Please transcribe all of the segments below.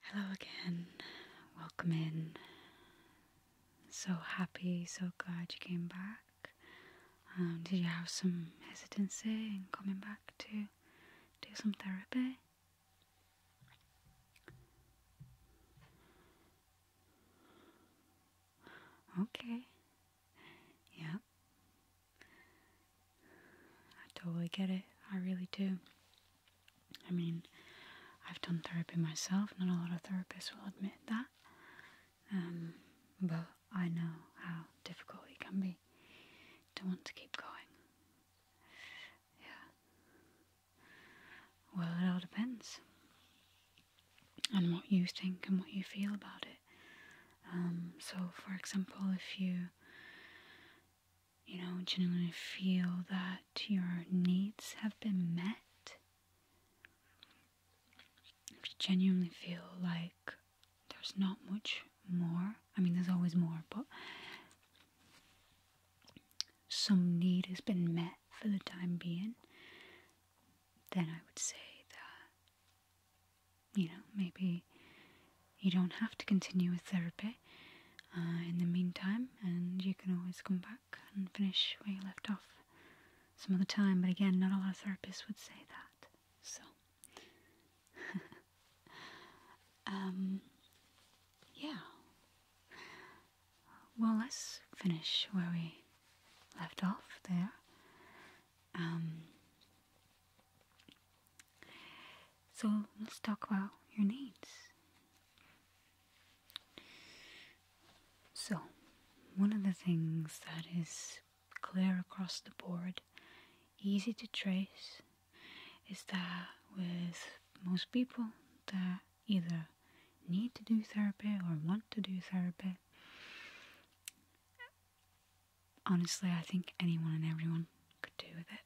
Hello again. Welcome in. So happy, so glad you came back. Um, did you have some hesitancy in coming back to do some therapy? Okay. Yeah. I totally get it. I really do. I mean, I've done therapy myself. Not a lot of therapists will admit that. Um, but I know how difficult it can be to want to keep going. Yeah. Well, it all depends on what you think and what you feel about it. Um, so, for example, if you you know, genuinely feel that your needs have been met, if you genuinely feel like there's not much more, I mean, there's always more, but some need has been met for the time being, then I would say that, you know, maybe you don't have to continue with therapy uh, in the meantime, and you can always come back and finish where you left off some other time. But again, not a lot of therapists would say that. So, um, yeah. Well, let's finish where we left off there. Um, so let's talk about your needs. So, one of the things that is clear across the board, easy to trace, is that with most people that either need to do therapy or want to do therapy, honestly, I think anyone and everyone could do with it.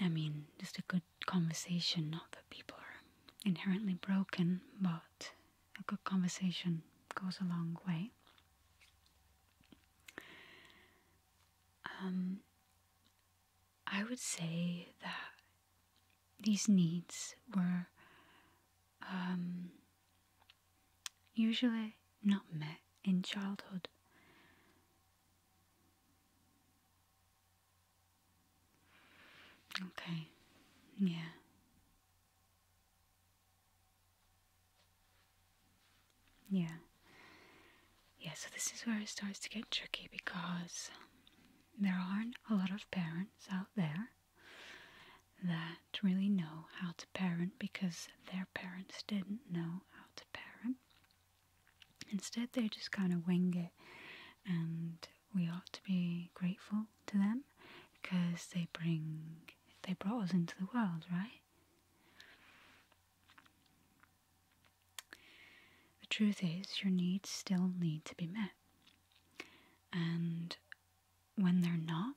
I mean, just a good conversation. Not that people are inherently broken, but a good conversation goes a long way. Um, I would say that these needs were um, usually not met in childhood. Okay, yeah. Yeah. Yeah, so this is where it starts to get tricky because there aren't a lot of parents out there that really know how to parent because they're parents didn't know how to parent. Instead, they just kind of wing it, and we ought to be grateful to them because they bring they brought us into the world, right? The truth is, your needs still need to be met, and when they're not,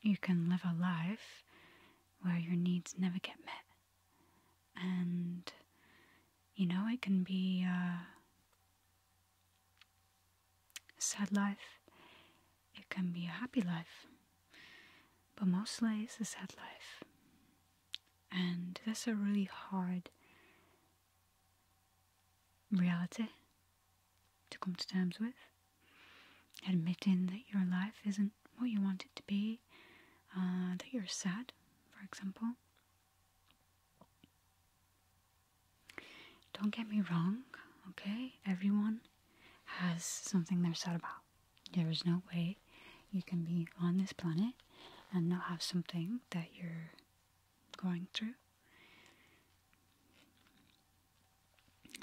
you can live a life where your needs never get met. And, you know, it can be uh, a sad life, it can be a happy life, but mostly it's a sad life. And that's a really hard reality to come to terms with. Admitting that your life isn't what you want it to be, uh, that you're sad, for example. Don't get me wrong, okay? Everyone has something they're sad about. There is no way you can be on this planet and not have something that you're going through.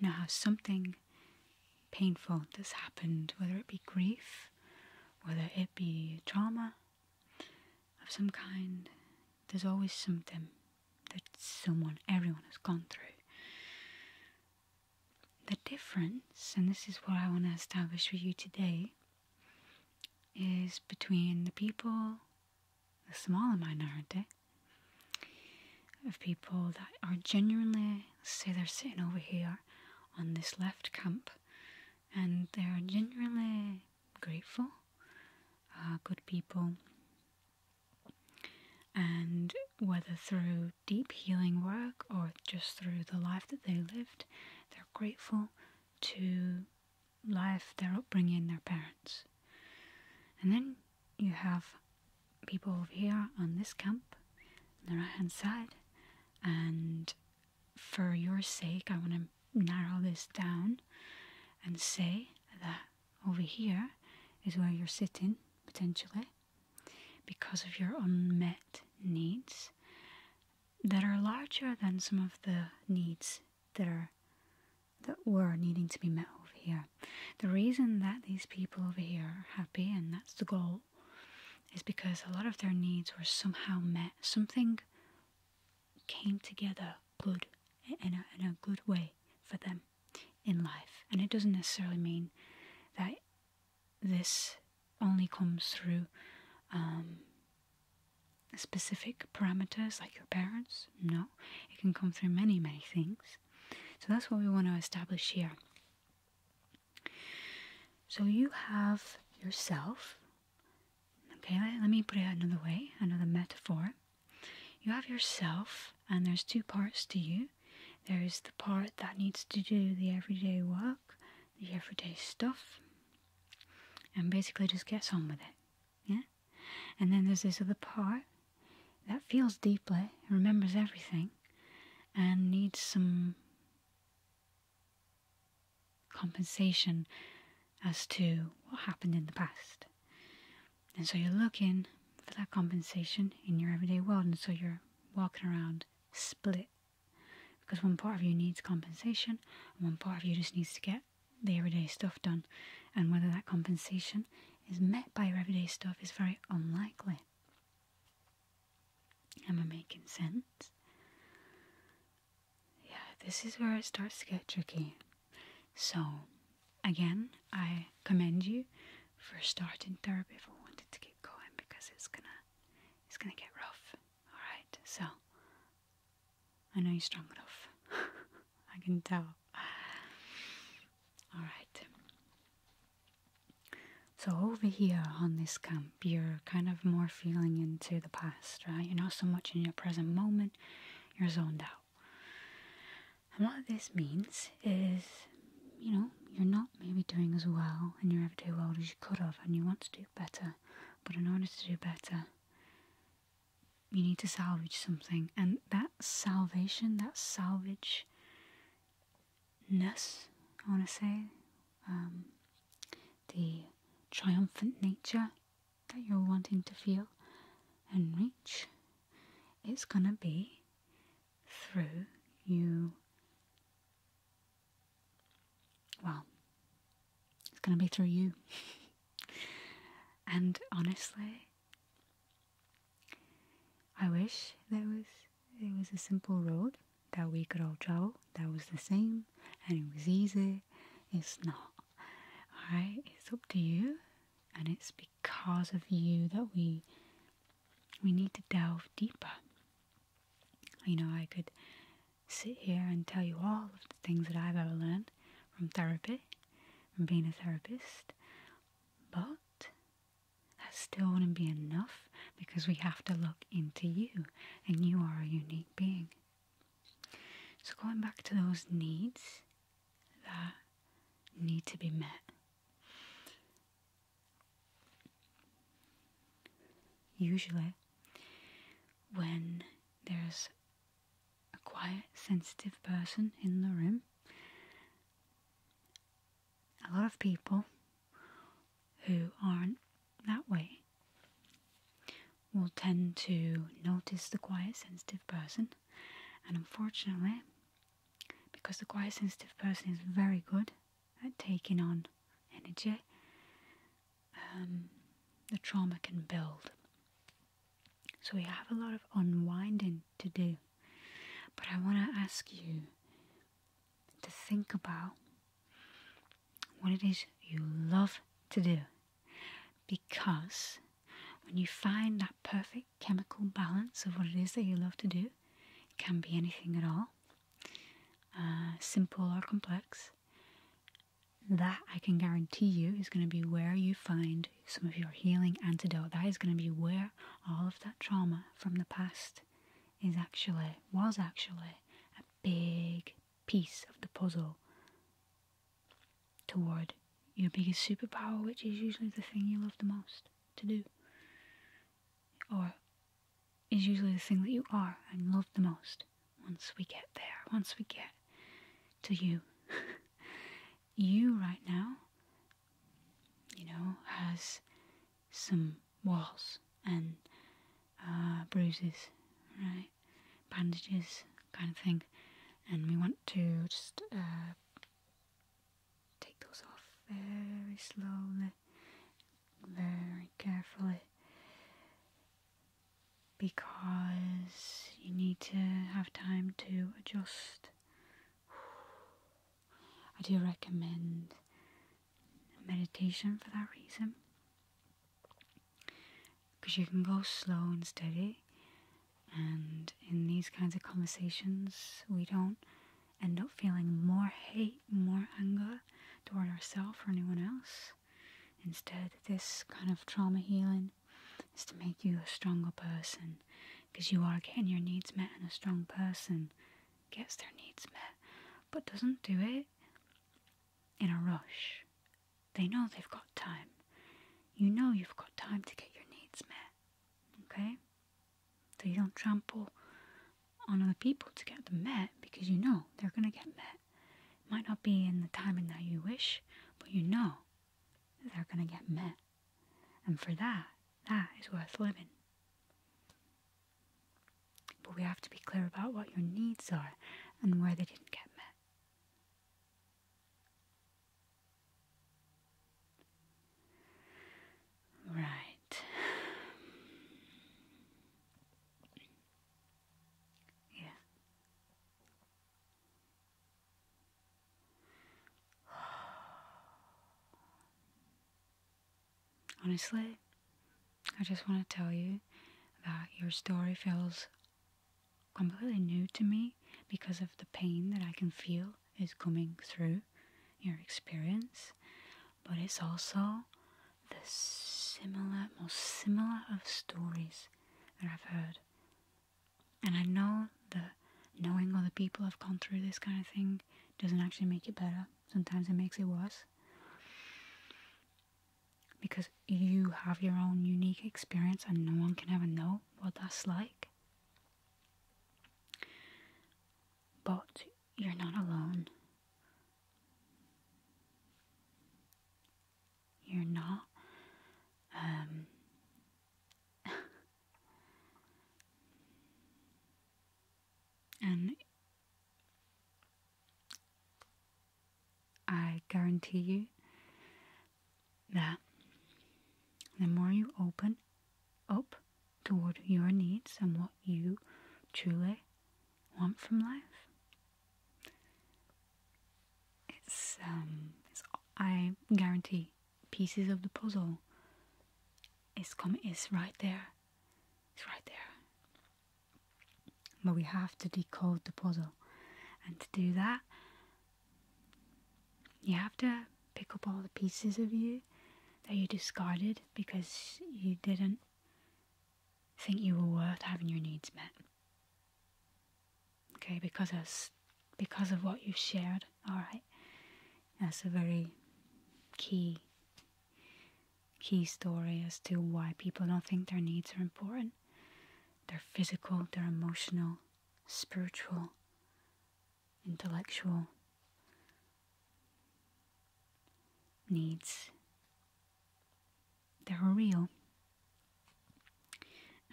Now, how something painful that's happened, whether it be grief, whether it be trauma of some kind, there's always something that someone, everyone has gone through. The difference, and this is what I want to establish for you today, is between the people the smaller minority of people that are genuinely, say they're sitting over here on this left camp and they are genuinely grateful, uh, good people. And whether through deep healing work or just through the life that they lived, they're grateful to life, their upbringing, their parents. And then you have people over here on this camp on the right hand side and for your sake i want to narrow this down and say that over here is where you're sitting potentially because of your unmet needs that are larger than some of the needs that are that were needing to be met over here. The reason that these people over here are happy, and that's the goal, is because a lot of their needs were somehow met. Something came together good in a, good way for them in life. And it doesn't necessarily mean that this only comes through um, specific parameters like your parents. No, it can come through many, many things. So that's what we want to establish here. So you have yourself. Okay, let me put it another way, another metaphor. You have yourself, and there's two parts to you. There is the part that needs to do the everyday work, the everyday stuff, and basically just gets on with it. Yeah? And then there's this other part that feels deeply, remembers everything, and needs some compensation as to what happened in the past. And so you're looking for that compensation in your everyday world, and so you're walking around split because one part of you needs compensation and one part of you just needs to get the everyday stuff done, and whether that compensation is met by your everyday stuff is very unlikely. Am I making sense? Yeah, this is where it starts to get tricky. So, again, I commend you for starting therapy for wanting to keep going because it's gonna it's gonna get rough. Alright, so I know you're strong enough. I can tell. Alright. So, over here on this camp, you're kind of more feeling into the past, right? You're not so much in your present moment, you're zoned out. And what this means is, you know, you're not maybe doing as well in your everyday world as you could have, and you want to do better. But in order to do better, you need to salvage something and that salvation that salvage i want to say um, the triumphant nature that you're wanting to feel and reach is going to be through you well it's going to be through you and honestly, I wish there was it was a simple road that we could all travel that was the same and it was easy. It's not. Alright, it's up to you and it's because of you that we we need to delve deeper. You know, I could sit here and tell you all of the things that I've ever learned from therapy, from being a therapist, but that still wouldn't be enough because we have to look into you and you are a unique being. So, going back to those needs that need to be met. Usually, when there's a quiet, sensitive person in the room. A lot of people who aren't that way will tend to notice the quiet, sensitive person, and unfortunately, because the quiet, sensitive person is very good at taking on energy um, the trauma can build. So we have a lot of unwinding to do. But I want to ask you to think about what it is you love to do. Because when you find that perfect chemical balance of what it is that you love to do, it can be anything at all, uh, simple or complex, that I can guarantee you is going to be where you find some of your healing antidote. That is going to be where all of that trauma from the past is actually, was actually a big piece of the puzzle toward your biggest superpower, which is usually the thing you love the most to do, or is usually the thing that you are and love the most once we get there, once we get to you. you right now, you know, has some walls and uh, bruises, right? Bandages, kind of thing. And we want to just uh, take those off very slowly, very carefully because you need to have time to adjust. I do recommend meditation for that reason because you can go slow and steady. And in these kinds of conversations, we don't end up feeling more hate, more anger toward ourselves or anyone else. Instead, this kind of trauma healing is to make you a stronger person because you are getting your needs met, and a strong person gets their needs met but doesn't do it in a rush. They know they've got time. You know you've got time to get your needs met, okay? So you don't trample on other people to get them met because you know they're going to get met. It might not be in the timing that you wish, but you know they're going to get met. And for that, that is worth living. But we have to be clear about what your needs are and where they didn't get met. Right. Yeah. Honestly, I just want to tell you that your story feels completely new to me because of the pain that I can feel is coming through your experience, but it's also the similar, most similar of stories that I've heard. And I know that knowing other people have gone through this kind of thing doesn't actually make it better. Sometimes it makes it worse. Because you have your own unique experience and no one can ever know what that's like. But you're not alone. You're not. Um, and I guarantee you that the more you open up toward your needs and what you truly want from life, it's um, I guarantee pieces of the puzzle. It's come. It's right there. It's right there. But we have to decode the puzzle, and to do that, you have to pick up all the pieces of you that you discarded because you didn't think you were worth having your needs met. Okay, because of, because of what you've shared. All right, that's a very key key story as to why people don't think their needs are important. Their physical, their emotional, spiritual, intellectual needs they're real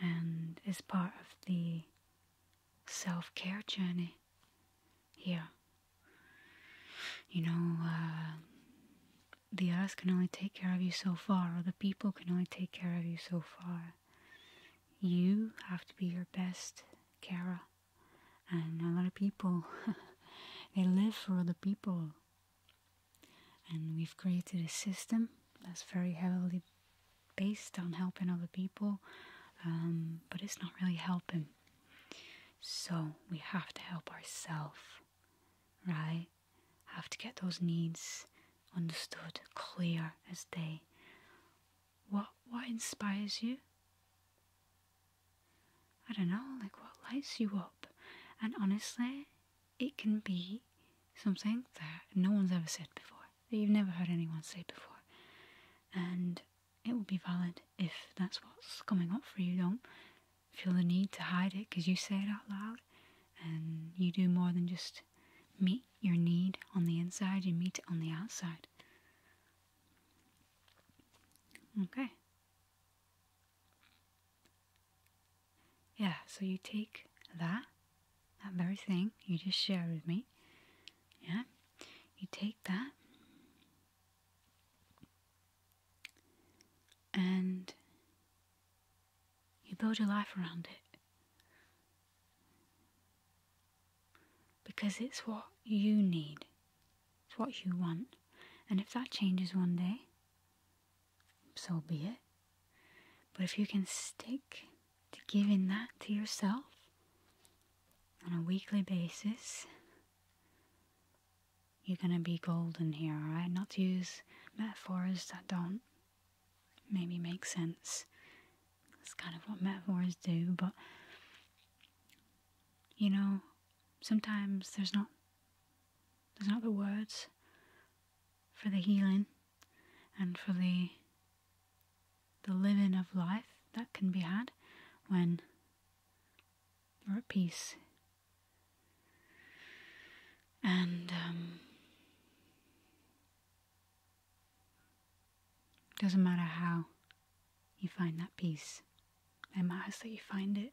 and is part of the self care journey here. You know, uh, the earth can only take care of you so far, or the people can only take care of you so far. You have to be your best carer, and a lot of people they live for other people, and we've created a system that's very heavily based on helping other people, um, but it's not really helping. So we have to help ourselves, right? Have to get those needs understood, clear as day. What what inspires you? I don't know, like what lights you up? And honestly, it can be something that no one's ever said before, that you've never heard anyone say before. And it will be valid if that's what's coming up for you. Don't feel the need to hide it because you say it out loud and you do more than just meet your need on the inside, you meet it on the outside. Okay. Yeah, so you take that, that very thing you just shared with me. Yeah, you take that and you build your life around it. Because it's what you need, it's what you want. And if that changes one day, so be it. But if you can stick to giving that to yourself on a weekly basis, you're going to be golden here, alright? Not to use metaphors that don't maybe make sense. That's kind of what metaphors do, but you know, sometimes there's not there's not the words for the healing and for the the living of life that can be had when you are at peace. And um, doesn't matter how you find that peace. It matters that you find it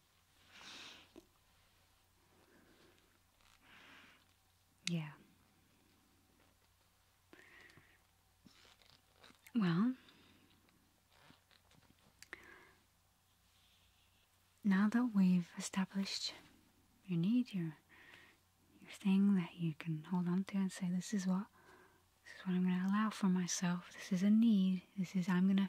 Yeah. Well, now that we've established your need, your your thing that you can hold on to and say, "This is what this is what I'm going to allow for myself. This is a need. This is I'm going to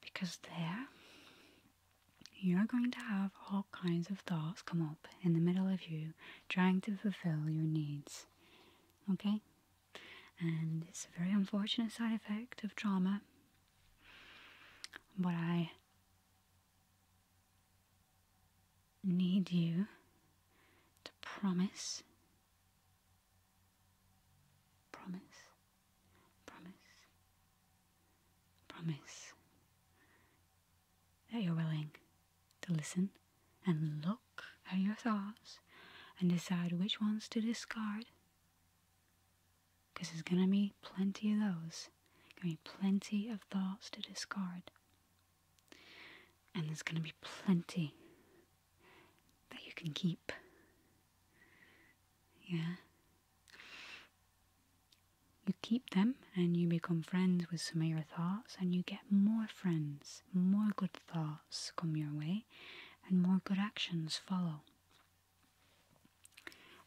Because there, you're going to have all kinds of thoughts come up in the middle of you trying to fulfill your needs. Okay? And it's a very unfortunate side effect of trauma. But I need you to promise Promise, promise, promise that you're willing to listen and look at your thoughts and decide which ones to discard. Because there's going to be plenty of those. Going to be plenty of thoughts to discard. And there's going to be plenty that you can keep. Yeah? You keep them and you become friends with some of your thoughts, and you get more friends, more good thoughts come your way, and more good actions follow.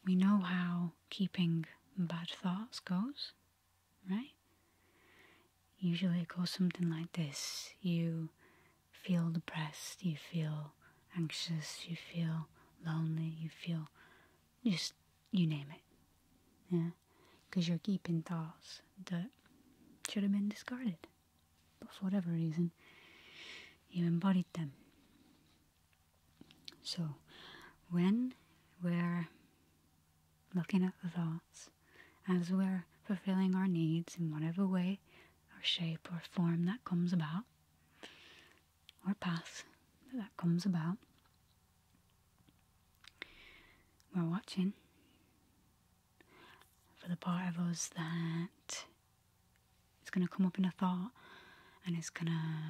We know how keeping bad thoughts goes, right? Usually it goes something like this you feel depressed, you feel anxious, you feel lonely, you feel just you name it. Yeah? Because you're keeping thoughts that should have been discarded. But for whatever reason, you embodied them. So, when we're looking at the thoughts, as we're fulfilling our needs in whatever way or shape or form that comes about, or path that comes about. We're watching for the part of us that is going to come up in a thought and it's going to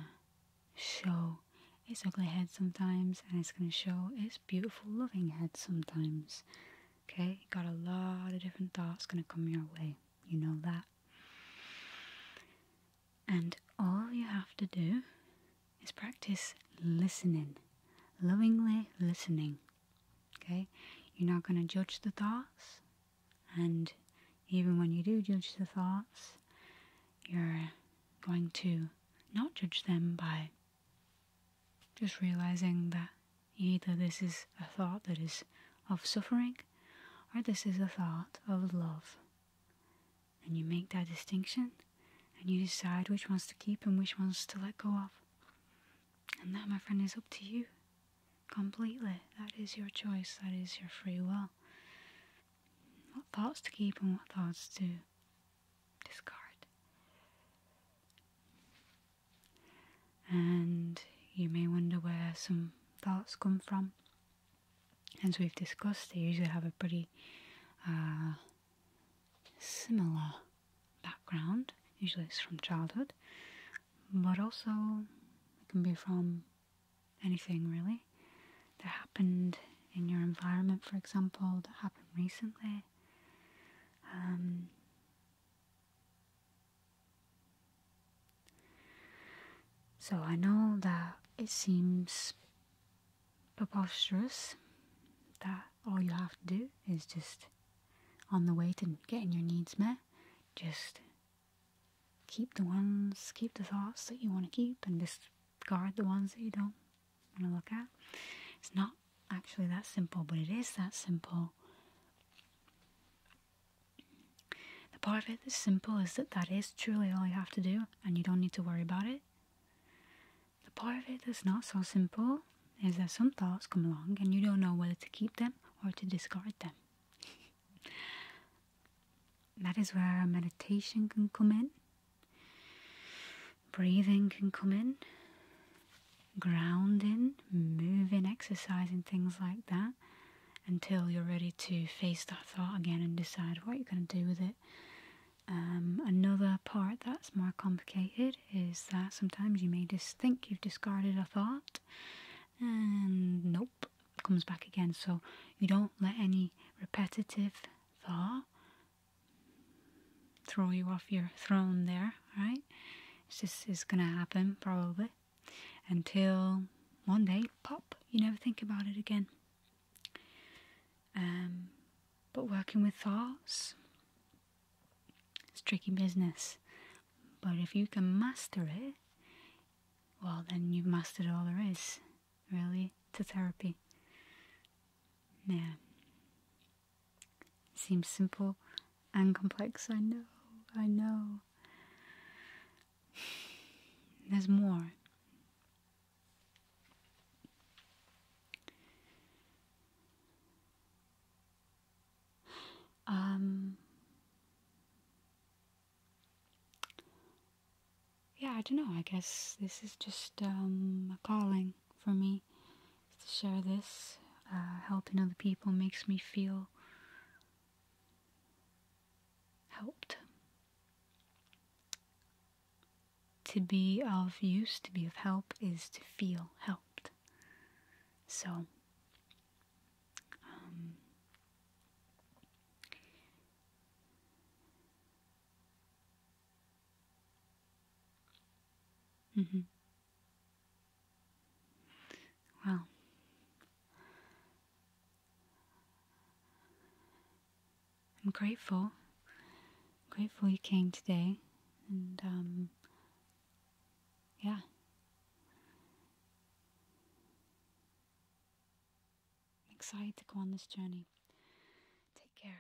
show its ugly head sometimes and it's going to show its beautiful loving head sometimes Okay, got a lot of different thoughts going to come your way. You know that. And all you have to do is practice listening, lovingly listening. Okay, you're not going to judge the thoughts, and even when you do judge the thoughts, you're going to not judge them by just realizing that either this is a thought that is of suffering or this is a thought of love. And you make that distinction and you decide which ones to keep and which ones to let go of. And that, my friend, is up to you completely. That is your choice, that is your free will. What thoughts to keep and what thoughts to discard and you may wonder where some thoughts come from. As we've discussed, they usually have a pretty uh, similar background, usually it's from childhood, but also it can be from anything really that happened in your environment, for example, that happened recently. Um, so I know that it seems preposterous that all you have to do is just on the way to getting your needs met, just keep the ones, keep the thoughts that you want to keep and discard the ones that you don't want to look at. It's not actually that simple, but it is that simple. The part of it that's simple is that that is truly all you have to do and you don't need to worry about it. The part of it that's not so simple is that some thoughts come along and you don't know whether to keep them or to discard them. that is where meditation can come in breathing can come in, grounding, moving, exercising, things like that until you're ready to face that thought again and decide what you're going to do with it. Um, another part that's more complicated is that sometimes you may just think you've discarded a thought and nope, comes back again. So you don't let any repetitive thought throw you off your throne there, right? This is gonna happen probably until one day, pop, you never think about it again. Um, but working with thoughts, it's tricky business. But if you can master it, well, then you've mastered all there is, really, to therapy. Yeah. Seems simple and complex, I know, I know. There's more. Um, yeah, I don't know. I guess this is just um, a calling for me to share this. Uh, helping other people makes me feel helped. To be of use, to be of help, is to feel helped. So, um, Mm-hmm. Well, I'm grateful. Grateful you came today, and um, yeah. I'm excited to go on this journey. Take care.